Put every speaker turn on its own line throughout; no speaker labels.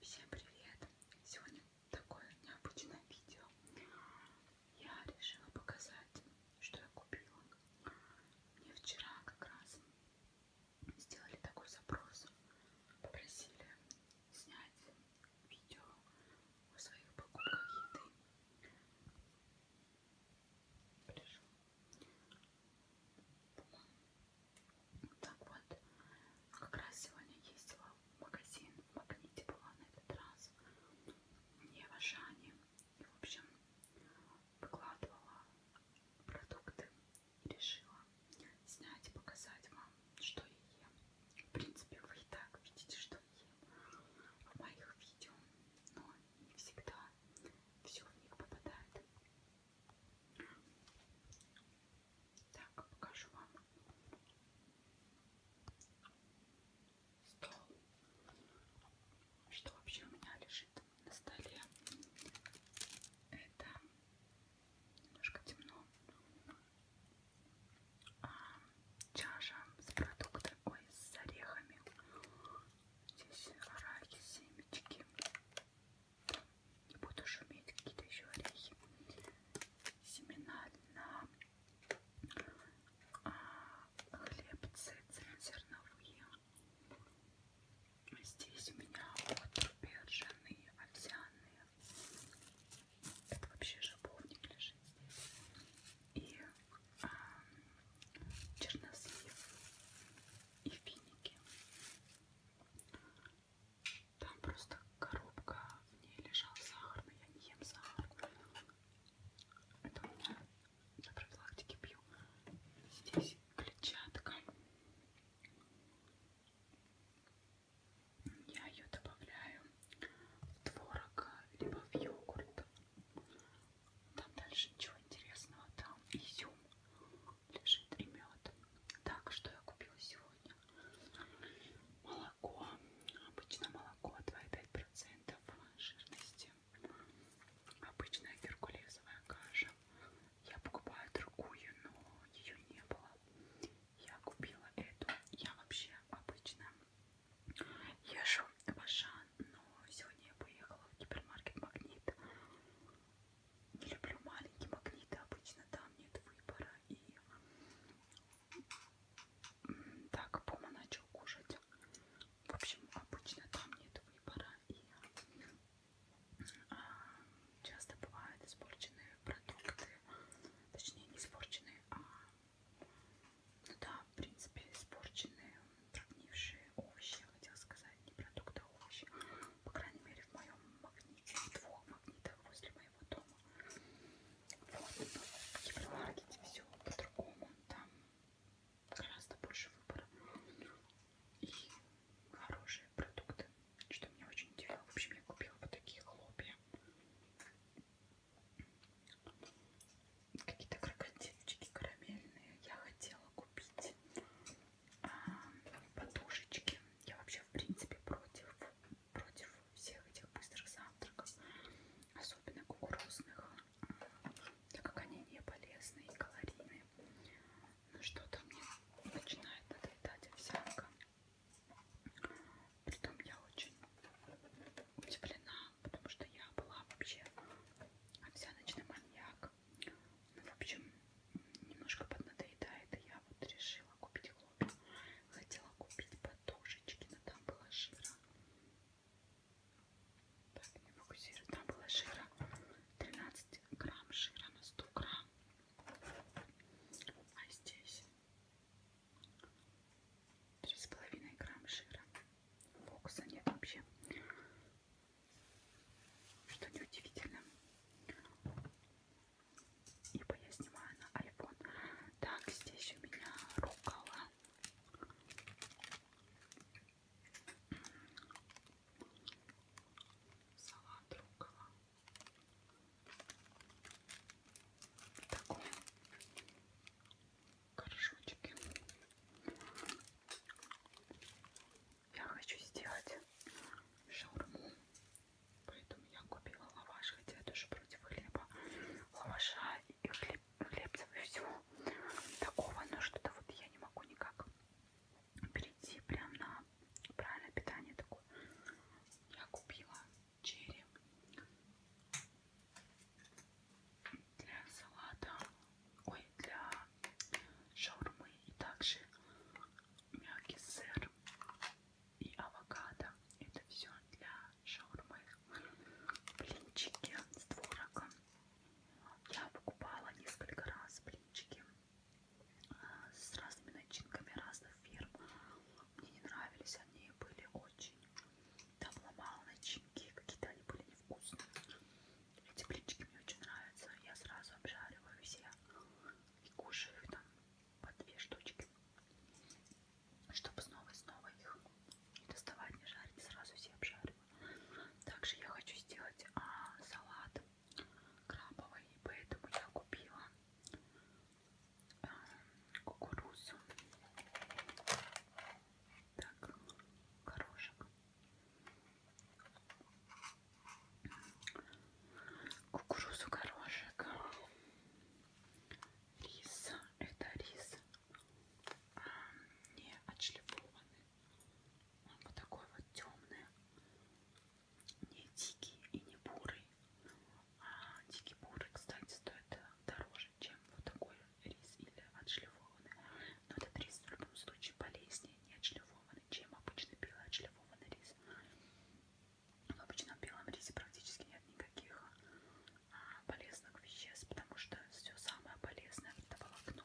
Всем привет! Сегодня такое необычное видео. Я решила показать, что я купила. Мне вчера как раз сделали такой запрос. Попросили снять видео о своих покупках еды. Пришел. По-моему, так вот, как раз сегодня ездила в магазин, в магните была на этот раз, не в Ашане. И, в общем, выкладывала продукты и решила снять и показать вам, что я ем. В принципе, вы и так видите, что я ем в моих видео, но не всегда все в них попадает. Так, покажу вам стол. Что вообще у меня лежит на столе? Это немножко темно. А, чаша с продуктами, ой, с орехами. Здесь арахи, семечки не буду шуметь, какие-то еще орехи, семена льна, хлебцы цельнозерновые. Здесь у меня вот бержаные, овсяные. Это вообще жабовник лежит здесь. И а, чернослив, и финики. Там просто коробка, в ней лежал сахар, но я не ем сахар. Это у меня для профилактики пью. Здесь клетчатка. Я ее добавляю в творог, либо в йогурт. Там дальше ничего интересного. Там изюм, лежит и мед. Так, что я купила сегодня? Молоко. Обычно молоко 2,5% жирности. Обычная геркулесовая каша. Я покупаю другую, но ее не было. Я купила эту. Я вообще обычно езжу в Ашан, но сегодня я поехала в гипермаркет Магнит не люблю маленькие магниты, а обычно там нет выбора. И так, Пома начал кушать. В общем, обычно там нет выбора. И а, часто бывают испорченные продукты. Точнее, не испорченные, а ну да, в принципе, испорченные, прогнившие овощи, хотел сказать, не продукты, а овощи по крайней мере в моем магните, в двух магнитах возле моего дома. Вот, но ну, в гипермаркете все по-другому, там гораздо больше выбора и хорошие продукты, что меня очень удивило. В общем, я купила вот такие хлопья, какие-то крокодильчики карамельные я хотела купить подушечки. Я вообще в принципе против, против всех этих быстрых завтраков, особенно кукурузных, так как они не полезны и калорийные. Но ну, что-то мне начинает надоедать овсянка. Притом я очень удивлена, потому что я была вообще овсяночный маньяк. Ну, в общем, немножко поднадоедает, и я вот решила купить хлопья. Хотела купить подушечки, но там было жира. Так, не фокусирую. Там было жира 13 грамм жира на 100 грамм. А здесь 3,5 грамм жира. Фокуса нет вообще. Что неудивительно. Ибо я снимаю на iPhone. Так, здесь у меня рукава. Салат рукава. В таком горшочке. Я хочу сделать шаурму Поэтому я купила лаваш, хотя я тоже против хлеба. Лаваша и хлеб, хлебцев и всего такого, но ну, что-то вот я не могу никак перейти прям на правильное питание такое. Я купила черри для салата, ой, для шаурмы и также мягкий сыр и авокадо. Это все для шаурмы. Блинчики с творогом. Я покупала несколько раз блинчики э, с разными начинками разных фирм. Мне не нравились, они были очень... Там ломала начинки, какие-то они были невкусные. Эти блинчики мне очень нравятся. Я сразу обжариваю все и кушаю их там по две штучки, чтобы снова и снова их не доставать, не жарить, сразу все обжариваю. Также я хочу сделать а, салат крабовый, поэтому я купила а, кукурузу, так, горошек кукурузу, горошек, рис, это рис а, не отшлифованный, он вот такой вот темный, не дикий и не бурый, а, дикий бурый, кстати, стоит дороже, чем вот такой рис или отшлифованный, но этот рис в любом случае полезнее не отшлифованный, чем обычный белый отшлифованный рис. Ну, в обычном белом рисе практически нет никаких а, полезных веществ, потому что все самое полезное это волокно.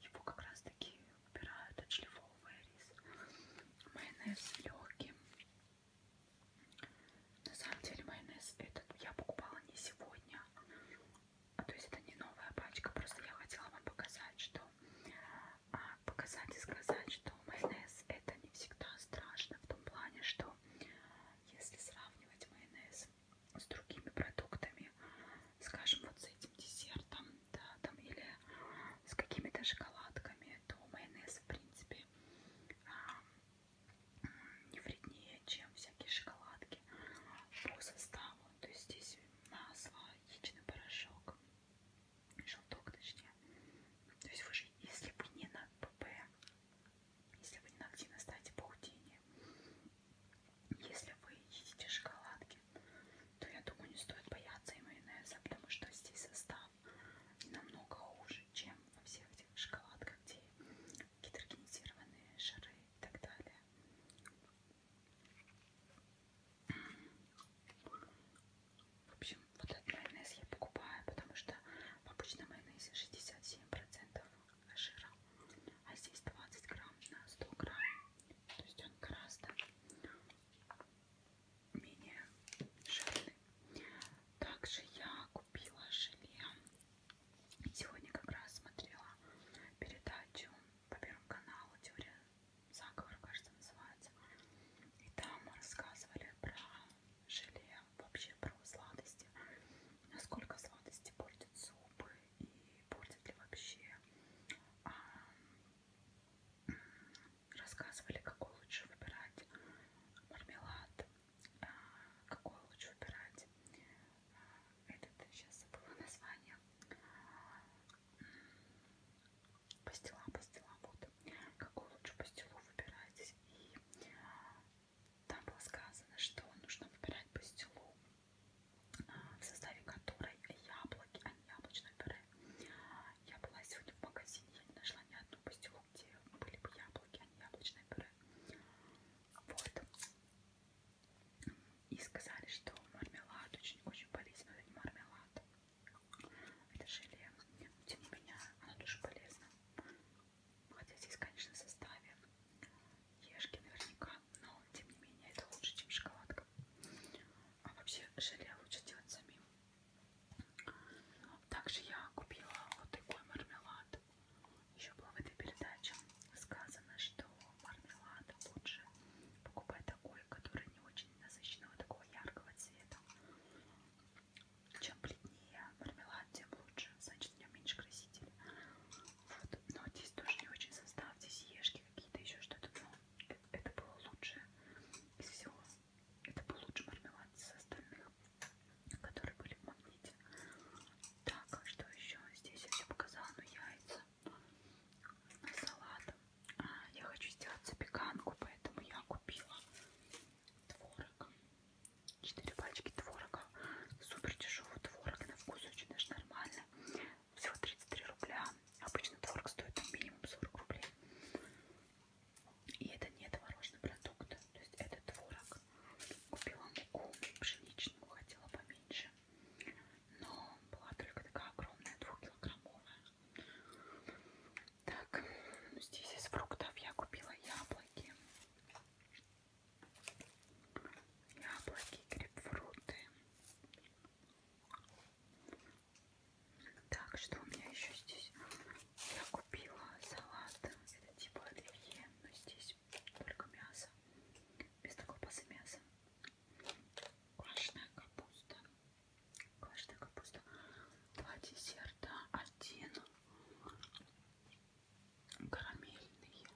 Его как раз таки убирают, отшлифовывая рис. Майонез легкий. На самом деле майонез этот я покупала не сегодня. А, то есть это не новая пачка, просто я хотела вам показать, что показать и сказать, что майонез это не всегда страшно в том плане, что если сравнивать майонез с другими продуктами, скажем, вот с этим десертом, да, там или с какими-то шоколадками, то майонез в принципе а, не вреднее, чем всякие шоколадки по составу. То есть здесь масло, яичный порошок, желток точнее. То есть вы же, если бы не на ПП, если вы не на активно ставите паутине, если вы едите шоколадки, то я думаю, не стоит бояться и майонеза, потому что здесь состав намного хуже, чем во всех этих шоколадках, где гидрогенизированные шары и так далее. В общем, вот этот майонез я покупаю, потому что в обычном майонезе 67% жира, а здесь 20 грамм на 100 грамм. То есть он гораздо менее жирный. Также я купила желе. Сегодня как раз смотрела передачу по Первому каналу «Теория заговор, кажется, называется. И там рассказывали про желе, вообще про сладости, насколько сладости портят зубы и портят ли вообще. А, рассказывали, какой лучше выбирать мармелад, а, какой лучше выбирать а, этот, сейчас забыла название Пастила, пастила, вот. Какую лучше пастилу выбирать. И а, там было сказано, что нужно выбирать пастилу, а, в составе которой яблоки, а не яблочное пюре. Я была сегодня в магазине, я не нашла ни одну пастилу, где были бы яблоки, а не яблочное пюре. Вот. И сказали, что мармелад очень-очень полезен, это не мармелад. Это желе, но тем не менее оно тоже полезно. Хотя здесь, конечно, в составе ешки наверняка, но тем не менее это лучше, чем шоколадка. А вообще желе лучше делать самим. Также я купила вот такой мармелад. Еще было в этой передаче сказано, что мармелад лучше покупать такой, который не очень насыщенного, такого яркого цвета чем плотнее мармелад, тем лучше, значит в нем меньше красителей. Вот. Но здесь тоже не очень состав, здесь ешки какие-то еще что-то, но это, это было лучше из всего. Это был лучше мармелад из остальных, которые были в магните. Так, а что еще? Здесь я все показала, но ну, яйца на салат. А, я хочу сделать запеканку, поэтому я купила творог. 4 пачки творога. Супер дешевый творог. На вкус очень даже нормально. Всего 33 рубля. Обычно творог стоит там минимум 40 рублей. И это не творожный продукт. То есть это творог. Купила муку пшеничную, хотела поменьше. Но была только такая огромная, 2 килограммовая. Так, ну, здесь из фруктов я купила яблоки. Яблоки, грейпфруты. Так, что у меня еще здесь? Я купила салат. Это типа оливье, но здесь только мясо. Без колбасы мясо. Квашеная капуста. Квашеная капуста. Два десерта. Один карамельный.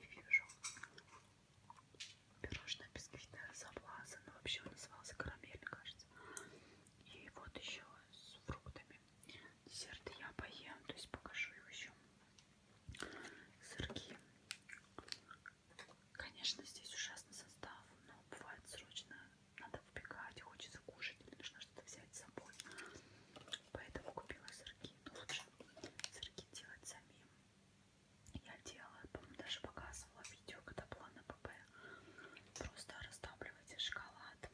Не вижу. Пирожное бисквитное э, заблаза. Но вообще он назывался карамель, кажется. И вот еще с фруктами. Десерты я поем, то есть покажу его еще. Сырки. Конечно, здесь ужасный состав, но бывает срочно надо убегать, хочется кушать, или нужно что-то взять с собой. Поэтому купила сырки. Но лучше сырки делать самим. Я делала, помню, даже показывала видео, когда была на ПП. Просто растапливайте шоколад.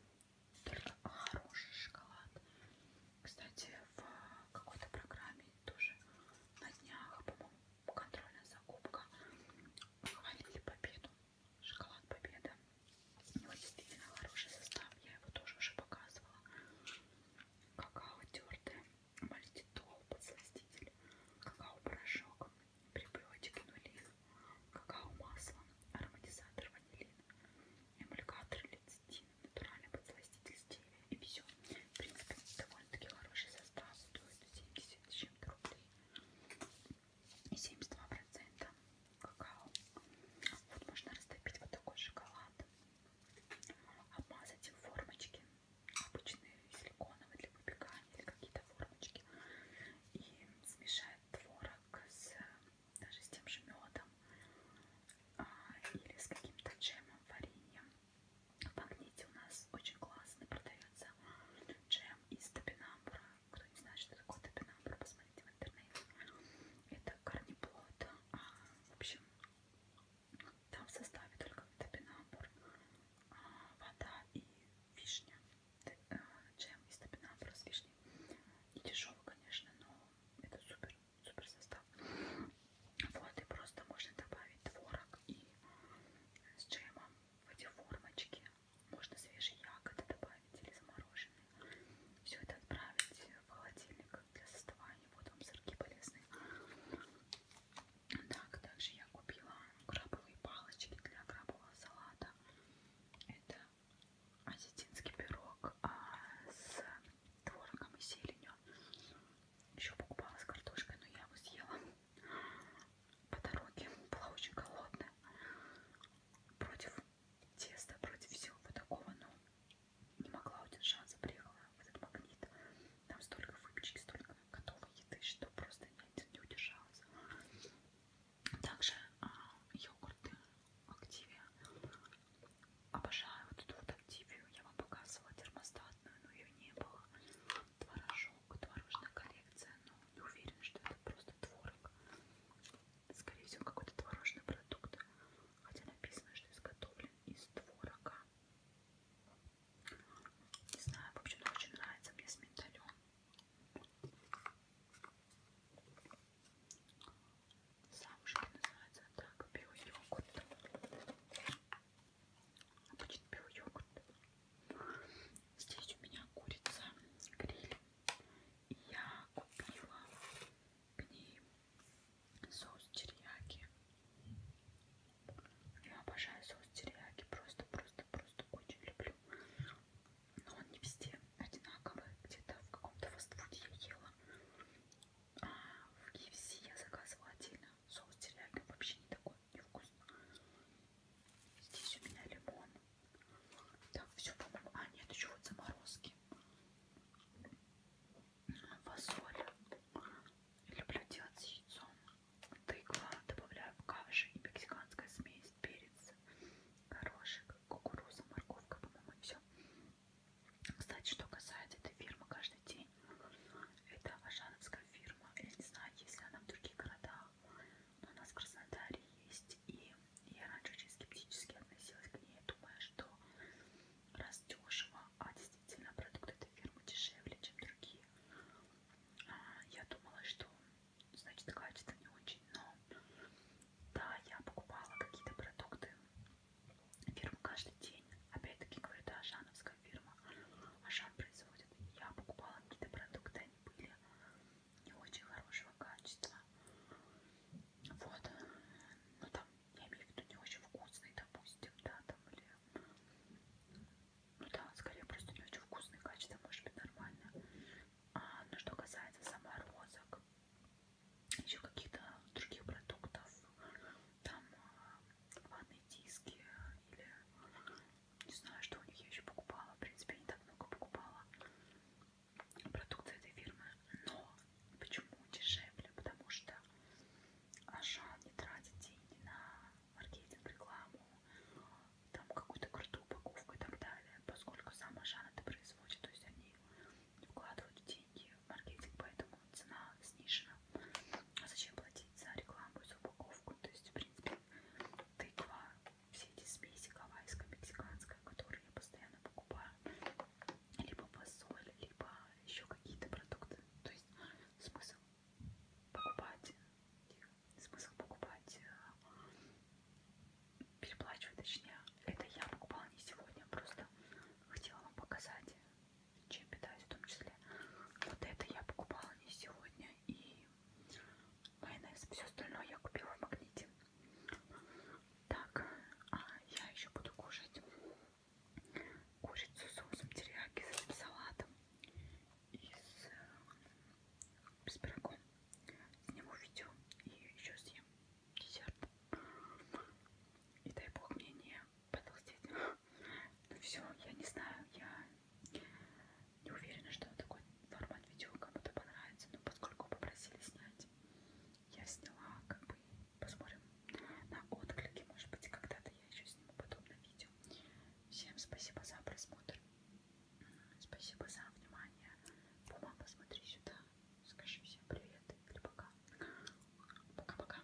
Только хороший шоколад. Кстати, в какой-то программе тоже на днях, по-моему, контрольная закупка. Хвалили победу. Шоколад Победа. У него действительно хороший состав. Я его тоже уже показывала. Какао тертое, мальтитол, подсластитель, какао-порошок, прибиотик инулин, какао-масло, ароматизатор ванилин, эмульгатор лецитин, натуральный подсластитель стевия и все. В принципе, довольно-таки хороший состав. Стоит 70 с чем-то рублей. 72% какао. Вот можно растопить вот такой шоколад. Обмазать им формочки. Обычные силиконовые для выпекания или какие-то формочки. И смешать творог с, даже с тем же медом. А, или с каким-то джемом, вареньем. В магните у нас очень классно продается джем из топинамбура. Кто не знает, что такое топинамбур, посмотрите в интернете. Это корнеплод. А, в общем, там в составе только топинамбур, а, вода и вишня. Т э, джем из топинамбура с вишней. И дешевый, конечно, но это супер, супер состав. Вот, и просто можно добавить творог и э, с джемом в эти формочки. Можно свежие ягоды добавить или замороженные. Все это отправить в холодильник для составания. Вот вам сырки полезные. Так, также я купила крабовые палочки для крабового салата. Это осетинский пирог а, с творогом и зеленью. Еще покупала с картошкой, но я его съела по дороге. Была очень голодная. Против теста, против всего вот такого, но не могла удержаться. Приехала в этот магнит. Там столько выпечки, столько готовой еды, что просто не, не удержалась. Также а, йогурты Активия. Обожаю вот эту вот Активию говорю, я вам показывала термостатную, но ее не было. Творожок, творожная коллекция, но не уверена, что это просто творог. Скорее всего, какой-то творожный продукт. Хотя написано, что изготовлен из творога. Не знаю, в общем, очень нравится мне с миндалем. Сам же называется так, био-йогурт. Обычный а белый йогурт. Здесь у меня курица гриль. И я купила к ней соус терияки. Я обожаю соус терияки. Просто, просто, просто очень люблю. Но он не везде одинаковый. Где-то в каком-то фастфуде я ела. А в KFC я заказывала отдельно Соус терияки вообще не такой невкусный. Здесь у меня лимон. Так, все, по-моему. А, нет, еще вот заморозки. Фасоль. Люблю делать с яйцом. Тыква добавляю в кавиш и мексиканская смесь, перец, горошек, кукуруза, морковка, по-моему, все. Кстати, что касается этой фирмы, каждый день России. Это ашановская фирма. Я не знаю, есть ли она в других городах. Но у нас в Краснодаре есть. И я раньше очень скептически относилась к ней, думая, что раз дешево, а действительно продукт этой фирмы дешевле, чем другие. А, я думала, что значит качество не очень, но да, я покупала какие-то продукты Фирма каждый день. Опять-таки говорю, это Ашановская фирма. Ашан производит. Я покупала какие-то продукты, они были не очень хорошего качества. Вот. Ну там, я имею в виду, не очень вкусный, допустим, да, там или... Ну да, скорее просто не очень вкусный, качество может быть нормально. А, но что касается заморозок, еще каких-то других продуктов, там ванные диски или не знаю, что у них я еще покупала. В принципе, я не так много покупала продукты этой фирмы. Но почему дешевле? Потому что Ашан не тратит деньги на маркетинг, рекламу, там какую-то крутую упаковку и так далее, поскольку сам Ашан это производит, то есть они вкладывают деньги в маркетинг, поэтому цена снижена. А зачем платить за рекламу и за упаковку? То есть, в принципе, тыква, все эти смеси гавайская, мексиканская, которые я постоянно покупаю, либо посоль, либо еще какие-то продукты. То есть смысл покупать, смысл покупать, э, переплачивать, точнее, это я покупала не сегодня, просто хотела вам показать чем питаюсь в том числе. Вот это я покупала не сегодня и майонез. Все остальное я купила в магните. Так, а я еще буду кушать курицу с соусом терияки, с этим салатом и с, э, с пирогом. Сниму видео и еще съем десерт. И дай бог мне не потолстеть. Ну все, я не знаю, я не уверена, что такой формат видео кому-то понравится, но поскольку попросили снять, я сняла, как бы, посмотрим на отклики, может быть, когда-то я еще сниму подобное видео. Всем спасибо за просмотр, спасибо за внимание. Пума, посмотри сюда, скажи всем привет или пока. Пока-пока.